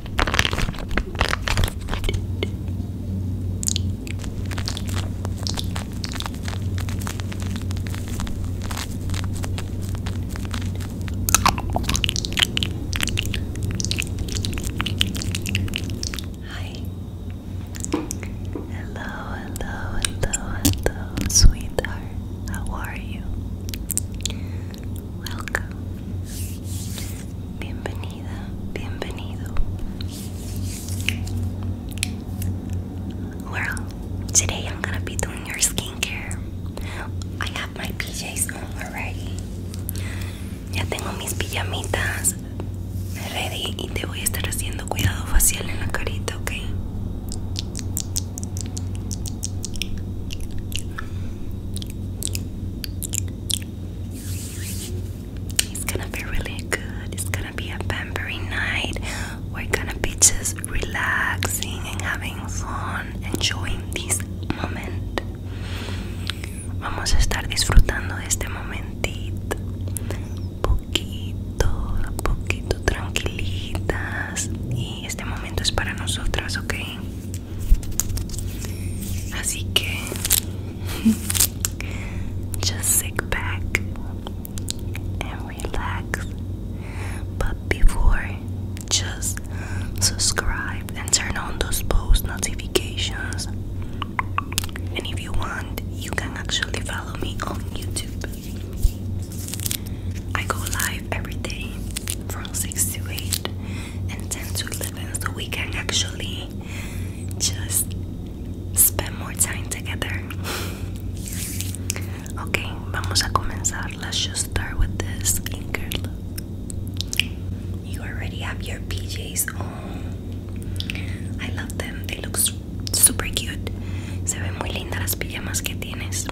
Hi. Hello, hello, hello, hello, sweetheart. How are you? welcome. Bienvenida, bienvenido. Well, today I'm gonna be doing your skincare. I have my PJs on already. Ya tengo mis pijamitas ready y te voy a estar haciendo cuidado facial en la carita, ¿ok? It's gonna be really good. It's gonna be a pampering night. We're gonna be just relaxing and having fun, enjoying this moment. Vamos a estar disfrutando de este momentito. Poquito, poquito tranquilitas. Y este momento es para nosotras, ¿ok? Así just sit back and relax. But before, just subscribe and turn on those post notifications. And if you want, you can actually follow me on YouTube. I go live every day from 6 to 8 intend to live in so we can actually just spend more time together. okay, vamos a comenzar. Let's just start with this skincare You already have your PJs on. I love them. They look super cute. Se ven muy lindas las pijamas que tienes.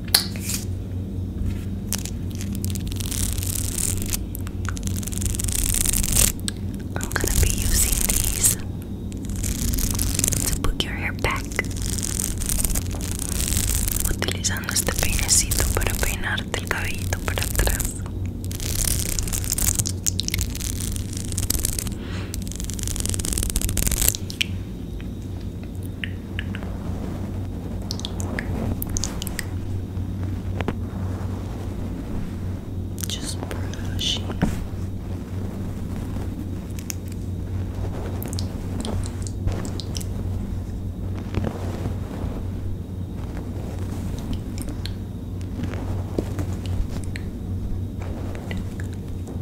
I'm gonna be using these to put your hair back. Utilizando este peinecito para peinarte el cabellito para atrás. Just brushing. Good.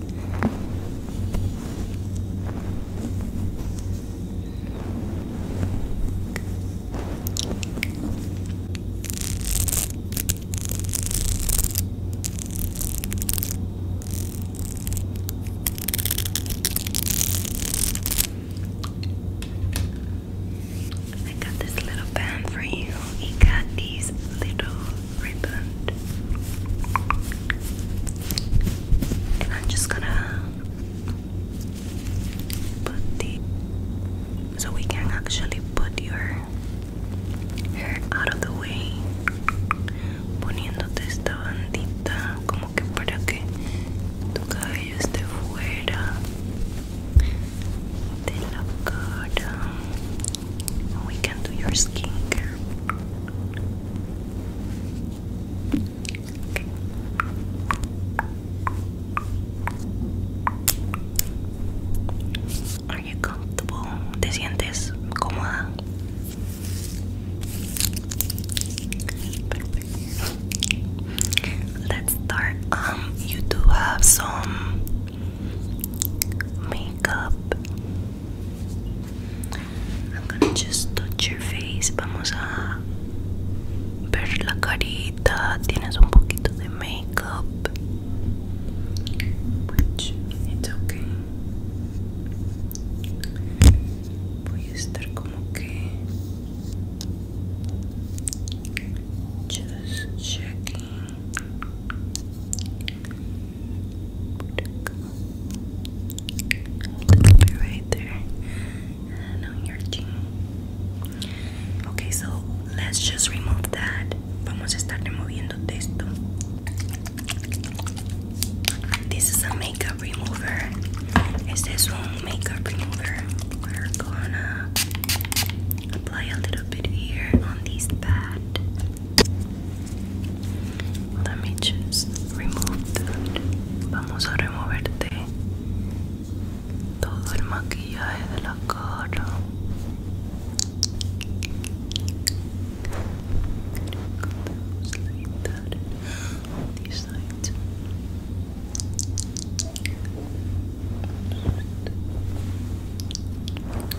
I got this little band for you. You got these little I'm just gonna put the so we can actually put your hair out of the way poniéndote esta bandita como que para que tu cabello esté fuera de la cara we can do your skincare. Okay. Are you comfortable? ¿Te sientes cómoda? Let's start. Um, you do have some makeup I'm gonna just touch your face. Vamos a ver la carita. Tienes un poquito de makeup. Which it's okay. Voy a estar como que just checking It'll right there on your chin. Okay, so let's just remove that. Vamos a estar removiendo esto. This is a makeup remover. Este this one makeup remover. We're gonna apply a little bit here on this pad. Let me just remove Vamos a removerte todo el maquillaje de la cara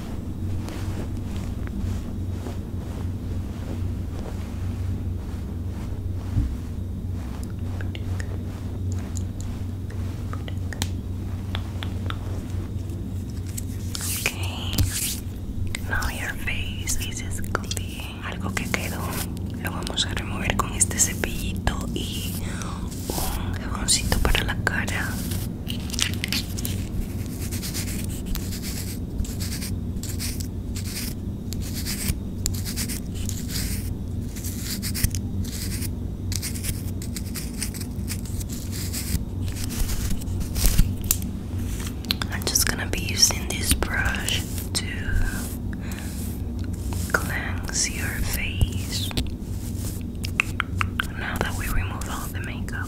Okay. Now your face Algo que quedó lo vamos a remover con este cepillito y un jaboncito para la cara. I'm just gonna be using this brush to cleanse your face now that we remove all the makeup.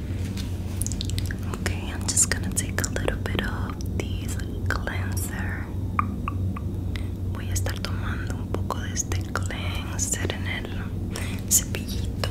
Okay, I'm just gonna take a little bit of this cleanser. Voy a estar tomando un poco de este cleanser en el cepillito.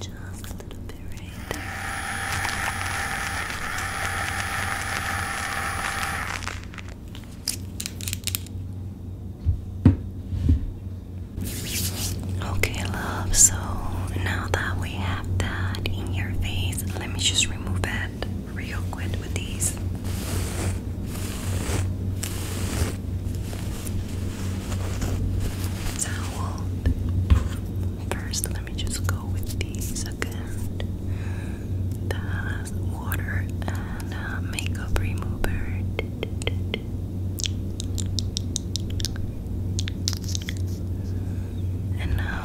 Just a little bit right Okay, love, so now that we have that in your face, let me just remove it real quick with these. It's First, let me just go with the second. That's water and uh, makeup remover. And now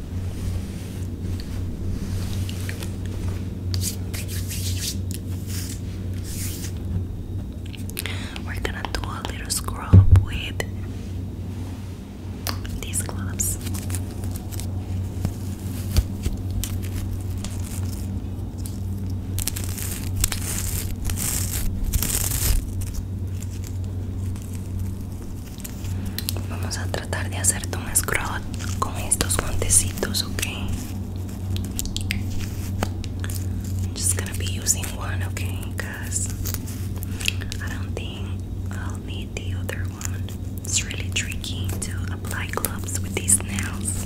We're gonna do a little scrub with these gloves. Vamos a tratar de hacerte un scrot con estos guantecitos, okay? I'm just gonna be using one, okay? cuz I don't think I'll need the other one. It's really tricky to apply gloves with these nails.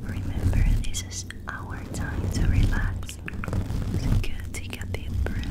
Remember, this is our time to relax. take a deep breath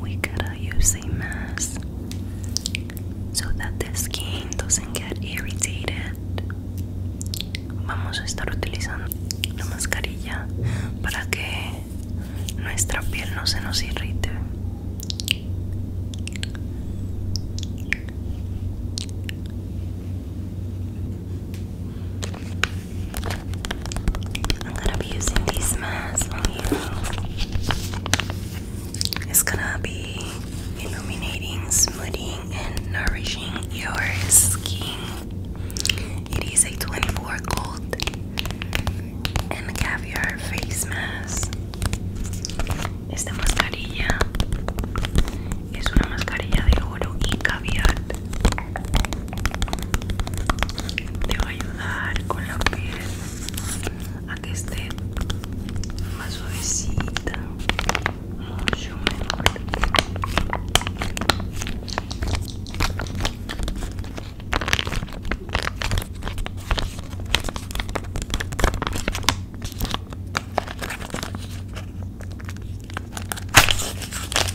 we gotta use a so that skin doesn't get irritated. Vamos a estar utilizando la mascarilla para que nuestra piel no se nos irrite. I'm gonna be using these masks on you. It's gonna be illuminating, smoothing, and nourishing your skin. It is a 24 gold and caviar face mask. Esta mascarilla es una mascarilla de oro y caviar Te voy a ayudar con la piel a que esté más suavecita, mucho mejor.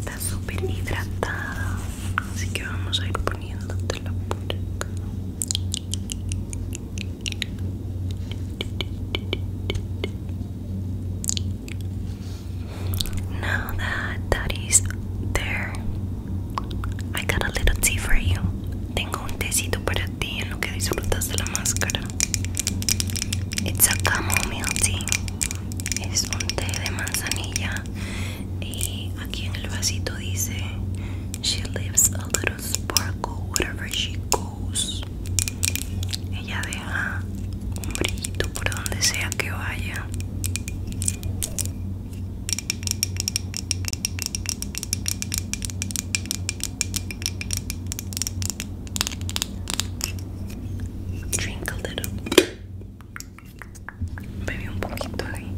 Está súper hidratada, así que vamos a ir poniéndotela la acá. Now that is there, I got a little tea for you. Tengo un tecito para ti en lo que disfrutas de la máscara. It's a chamomile tea es un té de manzanilla y aquí en el vasito dice she leaves a little sparkle wherever she goes ella deja un brillito por donde sea que vaya Drink a little. Bebe un poquito ahí.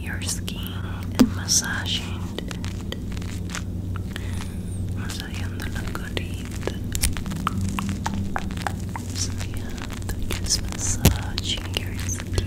Your skin and massaging. Masajeando la colita. So yeah, just massaging your skin.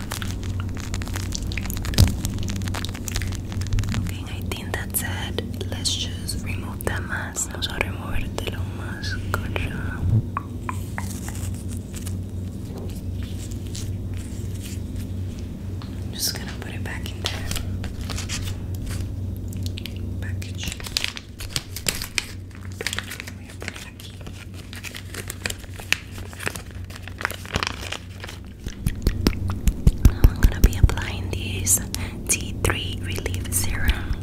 Okay, I think that's it. Let's just remove that mask. Vamos a removerte lo más, just gonna put it back in there. Package. I'm gonna be applying this T3 Relief Serum,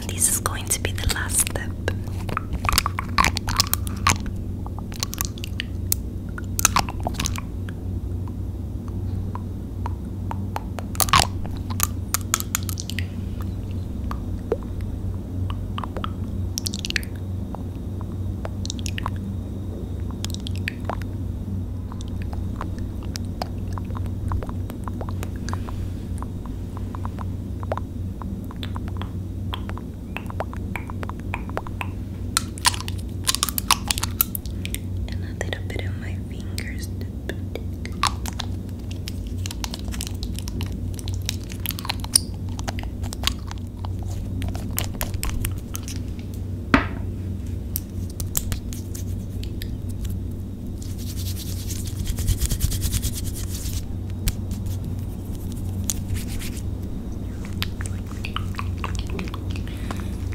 and this is going to be the last step. And a little bit of my fingers to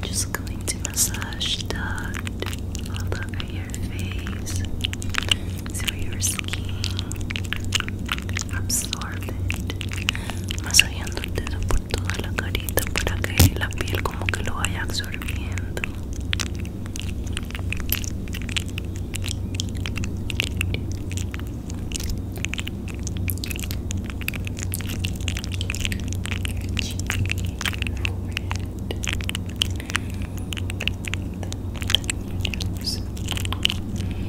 just going to massage that all over your face, through your skin, absorb Más Masajeando el dedo por toda la carita para que la piel como que lo vaya absorbiendo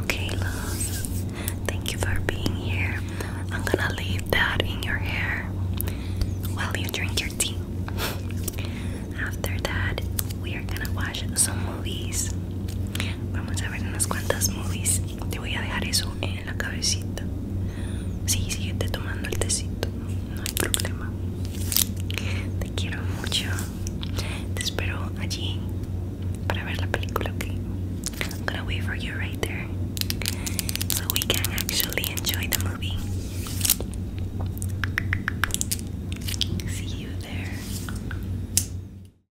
Okay, love. Thank you for being here. I'm gonna leave that in your hair while you drink your tea. After that, we are gonna watch some movies. Vamos a ver unas cuantas movies. Te voy a dejar eso en la cabecita. Sí, síguete tomando el tecito. No hay problema. Te quiero mucho. Te espero allí para ver la película, ok? I'm gonna wait for you right there. So we can actually enjoy the movie. See you there.